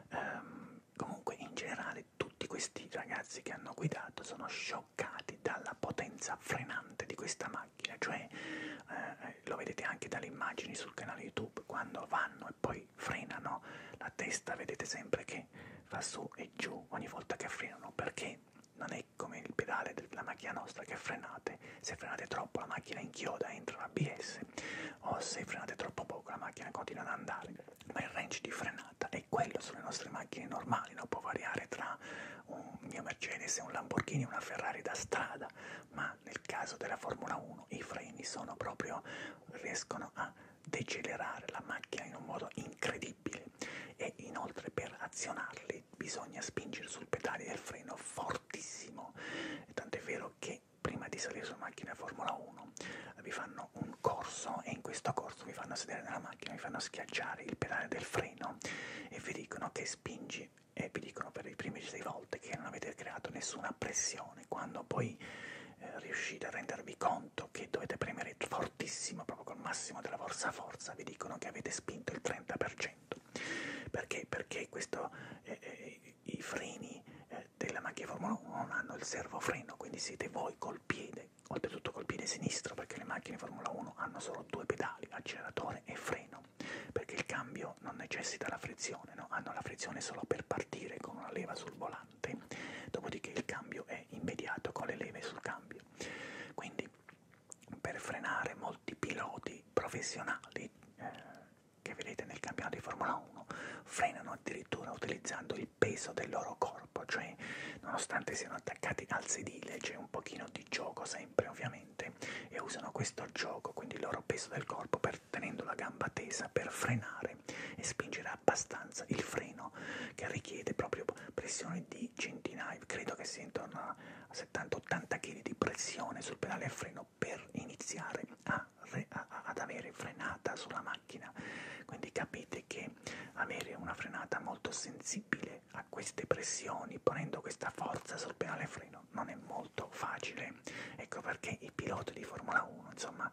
Um, comunque in generale tutti questi ragazzi che hanno guidato sono scioccati dalla potenza frenante di questa macchina macchina, cioè eh, eh, lo vedete anche dalle immagini sul canale YouTube, quando vanno e poi frenano la testa vedete sempre che fa su e giù ogni volta che frenano, perché non è come il pedale della macchina nostra che frenate, se frenate troppo la macchina inchioda, entra l'ABS, o se frenate troppo poco la macchina continua ad andare, ma il range di frenata è quello sulle nostre macchine normali, non può variare tra un mio Mercedes e un Lamborghini, una Ferrari da strada, ma ma nel caso della Formula 1 i freni sono proprio riescono a decelerare la macchina in un modo incredibile e inoltre per azionarli bisogna spingere sul pedale del freno fortissimo tant'è vero che prima di salire sulla macchina Formula 1 vi fanno un corso e in questo corso vi fanno sedere nella macchina, vi fanno schiacciare il pedale del freno e vi dicono che spingi e vi dicono per le prime sei volte che non avete creato nessuna pressione, quando poi eh, riuscite a rendervi conto che dovete premere fortissimo, proprio col massimo della vostra forza, vi dicono che avete spinto il 30%. Perché? Perché questo, eh, eh, i freni eh, della macchina Formula 1 non hanno il servofreno, quindi siete voi col piede, oltretutto col piede sinistro, perché le macchine Formula 1 hanno solo due pedali, acceleratore e freno no? Perché il cambio non necessita la frizione, no? Hanno la frizione solo per partire con una leva sul volante, dopodiché il cambio è immediato con le leve sul cambio. Quindi per frenare molti piloti professionali eh, che vedete nel campionato di Formula 1 frenano addirittura utilizzando il peso del loro corpo, cioè nonostante siano attaccati al sedile c'è un pochino di gioco sempre ovviamente mente e usano questo gioco, quindi il loro peso del corpo, per, tenendo la gamba tesa per frenare e spingere abbastanza il freno che richiede proprio pressione di centinaia, credo che sia intorno a 70-80 kg di pressione sul pedale a freno per iniziare a, a, ad avere frenata sulla macchina. Quindi capite che avere una frenata molto sensibile a queste pressioni, ponendo questa forza sul pedale a freno, non è molto molto facile. Ecco perché i piloti di Formula 1, insomma,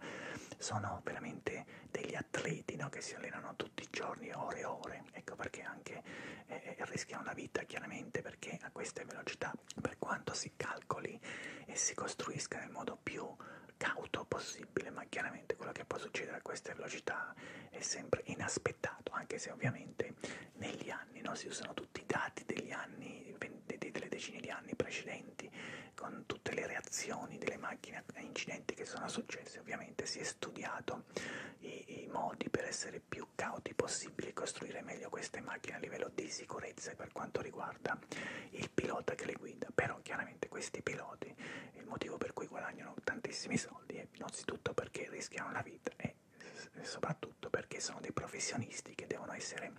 sono veramente degli atleti no? che si allenano tutti i giorni, ore e ore. Ecco perché anche eh, eh, rischiano la vita, chiaramente, perché a queste velocità, per quanto si calcoli e si costruisca nel modo più cauto possibile, ma chiaramente quello che può succedere a queste velocità è sempre inaspettato rispettato, anche se ovviamente negli anni no, si usano tutti i dati degli anni, delle decine di anni precedenti, con tutte le reazioni delle macchine a incidenti che sono successi, ovviamente si è studiato i, i modi per essere più cauti possibili e costruire meglio queste macchine a livello di sicurezza per quanto riguarda il pilota che le guida, però chiaramente questi piloti, il motivo per cui guadagnano tantissimi soldi è innanzitutto perché rischiano la vita e soprattutto perché sono dei professionisti che devono essere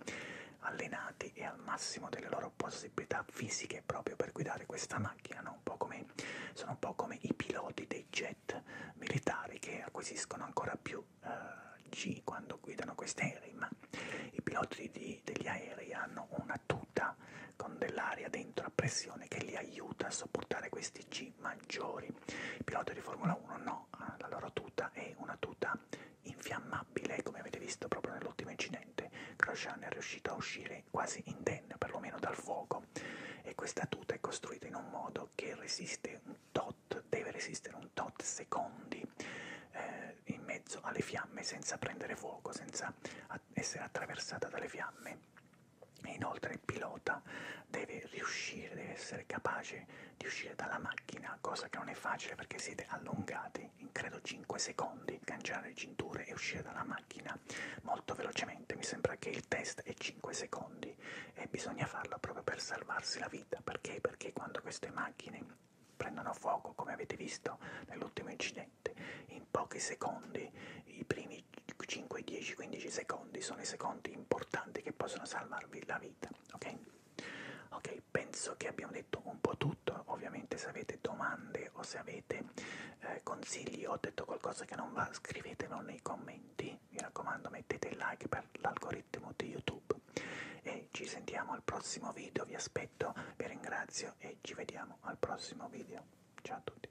allenati e al massimo delle loro possibilità fisiche proprio per guidare questa macchina, no? un po come, sono un po' come i piloti dei jet militari che acquisiscono ancora più uh, G quando guidano questi aerei, ma i piloti di, degli aerei hanno una tuta con dell'aria dentro a pressione che li aiuta a sopportare questi G maggiori i piloti di Formula 1 no, la loro tuta è una tuta infiammabile, come avete visto proprio nell'ultimo incidente, Grosjean è riuscito a uscire quasi indenne, perlomeno dal fuoco, e questa tuta è costruita in un modo che resiste un tot, deve resistere un tot secondi eh, in mezzo alle fiamme senza prendere fuoco, senza essere attraversata dalle fiamme. E inoltre il pilota deve riuscire, deve essere capace di uscire dalla macchina, cosa che non è facile perché siete allungati in credo 5 secondi, cancellare le cinture e uscire dalla macchina molto velocemente, mi sembra che il test è 5 secondi e bisogna farlo proprio per salvarsi la vita, perché? Perché quando queste macchine prendono fuoco, come avete visto nell'ultimo incidente, in pochi secondi, i primi 5, 10, 15 secondi sono i secondi importanti che possono salvarvi la vita, ok? Ok, penso che abbiamo detto un po' tutto, ovviamente se avete domande o se avete eh, consigli o ho detto qualcosa che non va, scrivetemelo nei commenti, mi raccomando mettete il like per l'algoritmo di YouTube e ci sentiamo al prossimo video, vi aspetto, vi ringrazio e ci vediamo al prossimo video. Ciao a tutti.